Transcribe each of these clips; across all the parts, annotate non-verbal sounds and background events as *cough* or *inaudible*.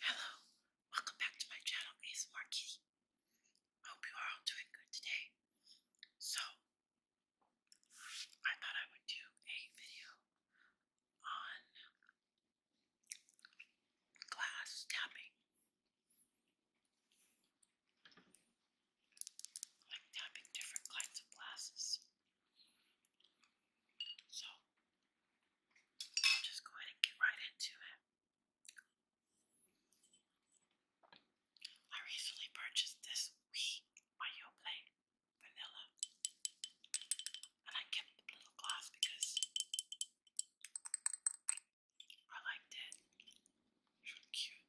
Hello, welcome back to my channel ASMR Kitty. I hope you are all doing good today. So, I thought I would do a video on glass tapping. Like tapping different kinds of glasses. So, i just go ahead and get right into it. I recently purchased this Wii Mayo Play Vanilla, and I kept the little glass because I liked it. It's cute.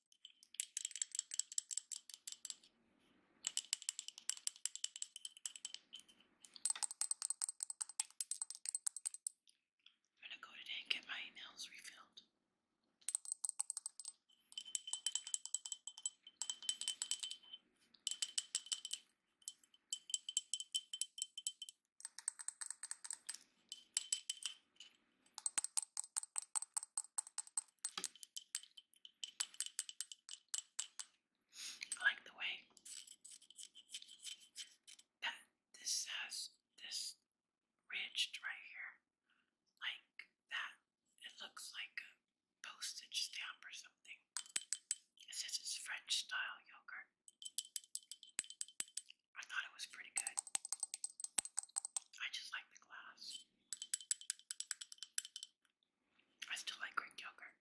I'm gonna go today and get my nails refilled. I like the way that this has this ridged right here, like that. It looks like a postage stamp or something. It says it's French style yogurt. I thought it was pretty good. I just like the glass. I still like Greek yogurt.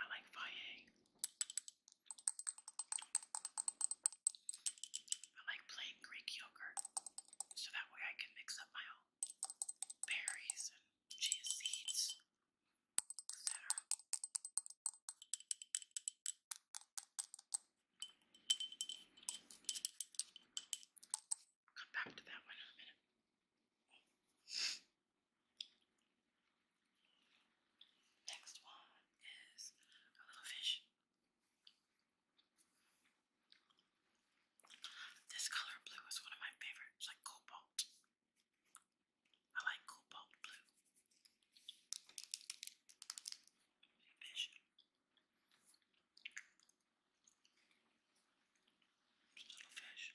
I like Valle. I like plain Greek yogurt so that way I can mix up my own berries and chia seeds, etc. Come back to that one Next one is a little fish. This color blue is one of my favorites, like cobalt. I like cobalt blue. Fish. Just little fish.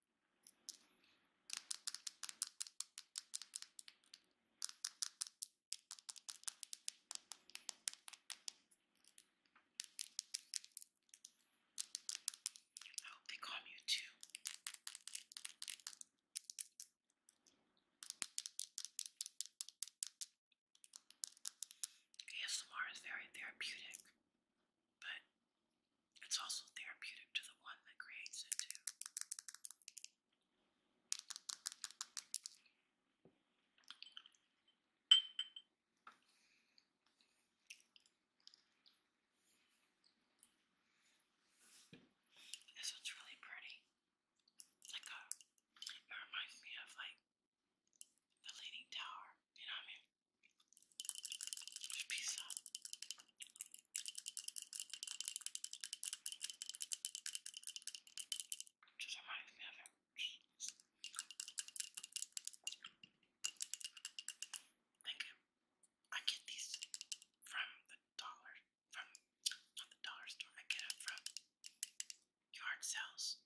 I hope they calm you too. ASMR is very therapeutic but it's also therapeutic to the one that creates it too. This one's really pretty. like a, uh, it reminds me of like the Leaning Tower, you know what I mean? pizza. Just reminds me of him. Thank you. I get these from the dollar, from the dollar store. I get it from yard sales.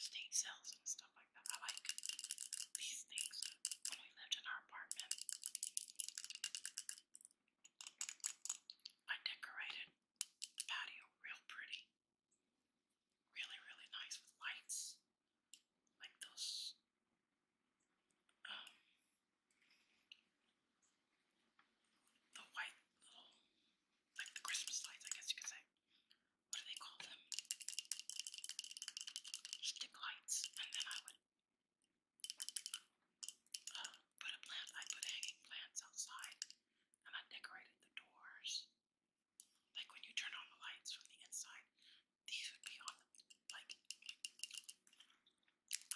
State cells and stuff like that. I like these things when we lived in our apartment. I decorated the patio real pretty. Really, really nice with lights. Like those um the white little like the Christmas lights, I guess you could say. What do they call them? Stick lights. And then I would uh, put a plant, I put hanging plants outside, and I decorated the doors. Like when you turn on the lights from the inside, these would be on like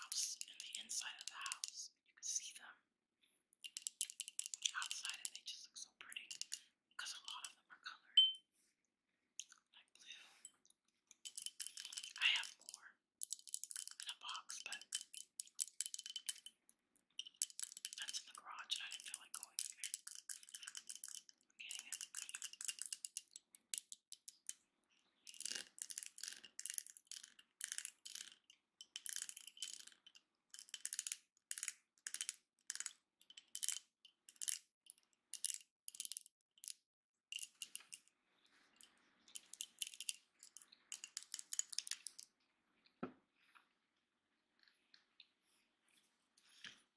house in the inside of the house. You could see them outside and they just look so pretty because a lot of them are colored like blue. I have more in a box, but that's in the garage and I didn't feel like going in there. I'm getting it.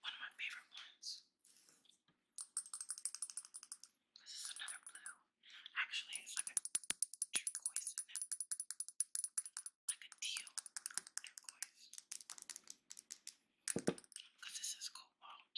One of my favorite ones. This is another blue. Actually, it's like a turquoise Like a teal turquoise. Because this is cobalt.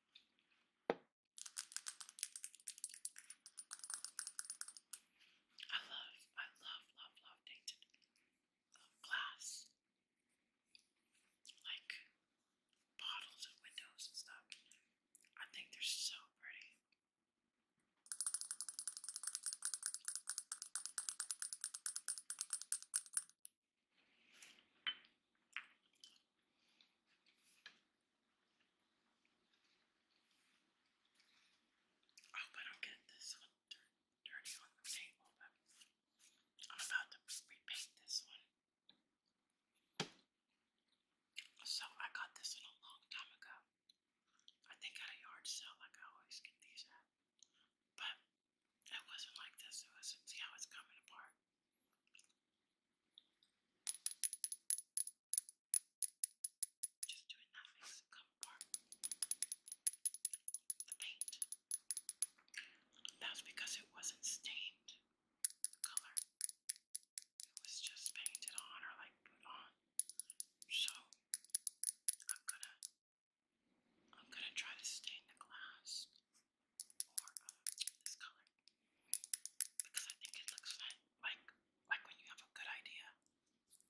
I love, I love, love, love painted glass. Like bottles and windows and stuff. I think they're so pretty. I hope I don't get this dirty on the table, but I'm about to repaint this one. So I got this one a long time ago. I think at a yard sale, like I always get these at. But it wasn't like this. It was see how it's coming apart. Just doing that makes it come apart. The paint. That's because it wasn't stained. The color. It was just painted on or like put on. So I'm gonna I'm gonna try to stain the glass or uh, this color because I think it looks fun. Like like when you have a good idea,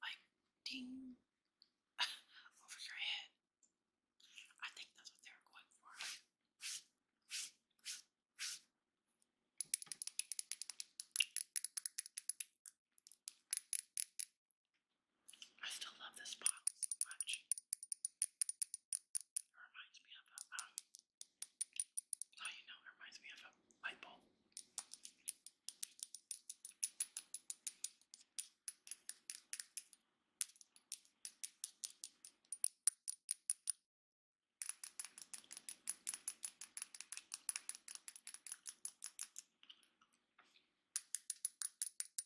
like ding *laughs* over your head. I think that's what they were going for. I still love this bottle so much. It reminds me of a, um, oh, you know, it reminds me of a light bulb.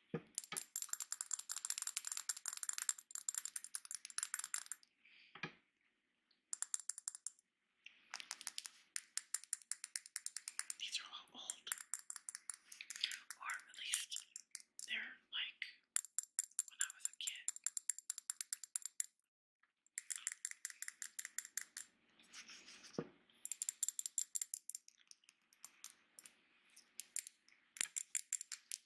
These are all old, or at least they're like when I was a kid.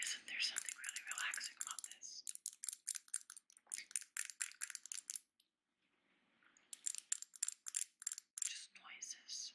Isn't there something really relaxing about this? Just noises.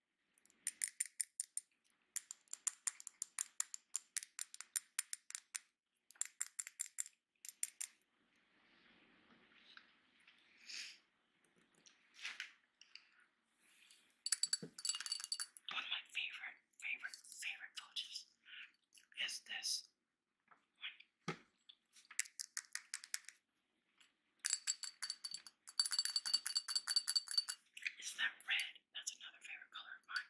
One of my favorite, favorite, favorite pouches is this one. It's that red that's another favorite color of mine.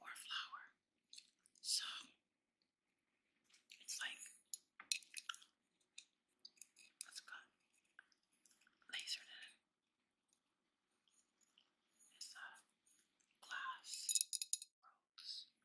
or flour. So it's like what's it called? Laser in. It's a uh, glass Subscribe.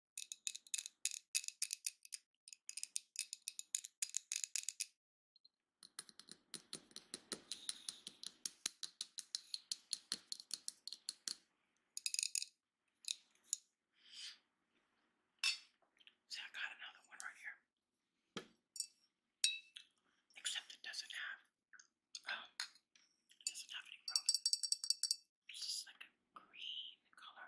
See, I got another one right here. Except it doesn't have, um, it doesn't have any roses. It's just like a green color.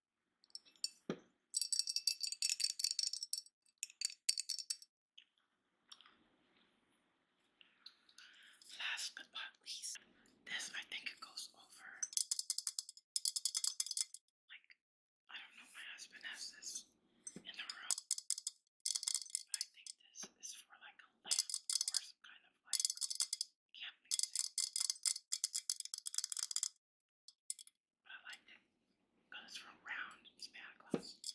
Last but not least, this I think it goes over. Like, I don't know, my husband has this in the room. But I think this is for like a lamp or some kind of like can't mix it. But I liked it because it's real round. It's bad glass. So.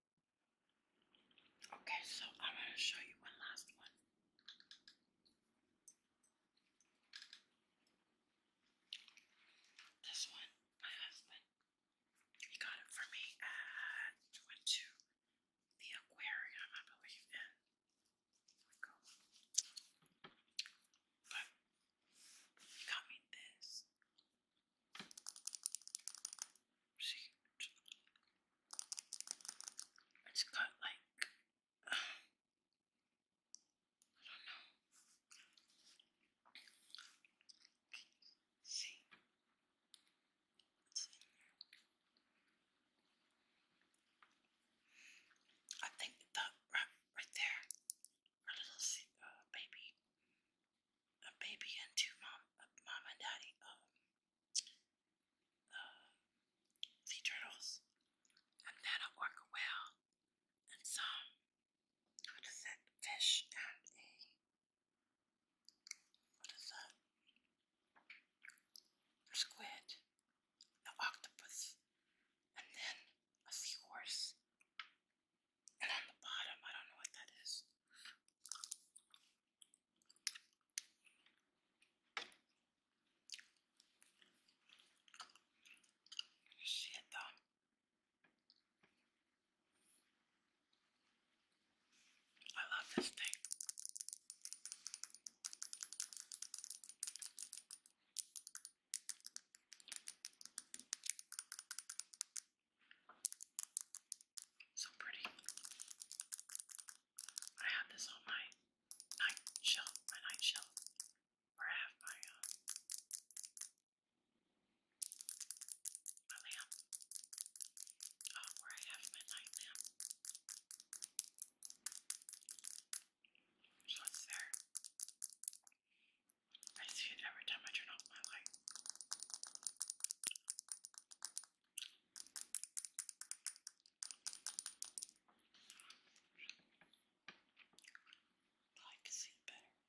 Okay, so I'm going to show you one last one. This one, my husband, he got it for me at, went to the aquarium, I believe, But he got me this. See, it's got like I don't know. See, I think that right, right there, our little uh, baby a baby and two mom, uh, mom and daddy, um, uh, sea turtles, and then a orca whale, and some, what is that, fish and a, what is that, squid, an octopus, and then a seahorse, on the bottom, I don't know what that is. Shit, though. I love this thing. So pretty. I have this on my night shelf, my night shelf, where I have my uh, lamp, uh, where I have my night lamp. So it's there. I see it every time I turn off my light. I can see it better there.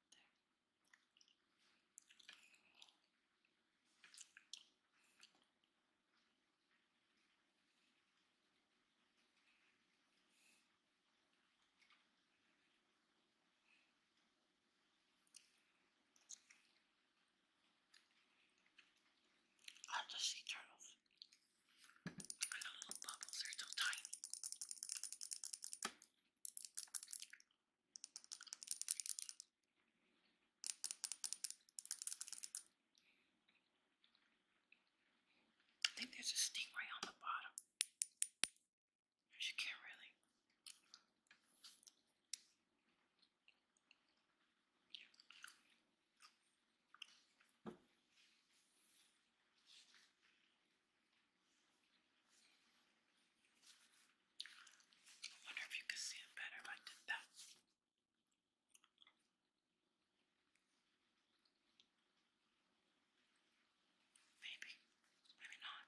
I love the sea turtles. the little bubbles are so tiny. I think there's a stingray on the bottom. She can't really. I wonder if you could see it better if I did that. Maybe, maybe not.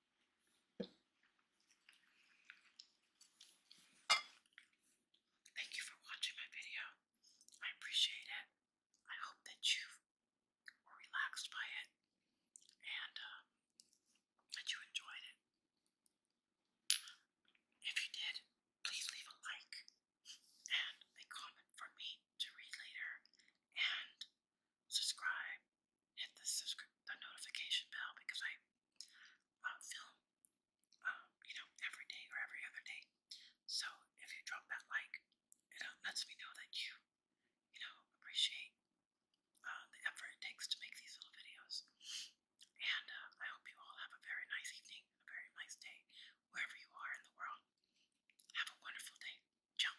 Thank you for watching my video. I appreciate it. I hope that you were relaxed by it and um, that you enjoyed it. If you did, please leave a like and a comment for me to read later and subscribe hit the subscribe the notification bell because I film um, you know every day or every other day. So if you drop that like, it uh, lets me know that you you know appreciate um, the effort it takes to make these little videos. And uh, I hope you all have a very nice evening, a very nice day, wherever you are in the world. Have a wonderful day. Ciao.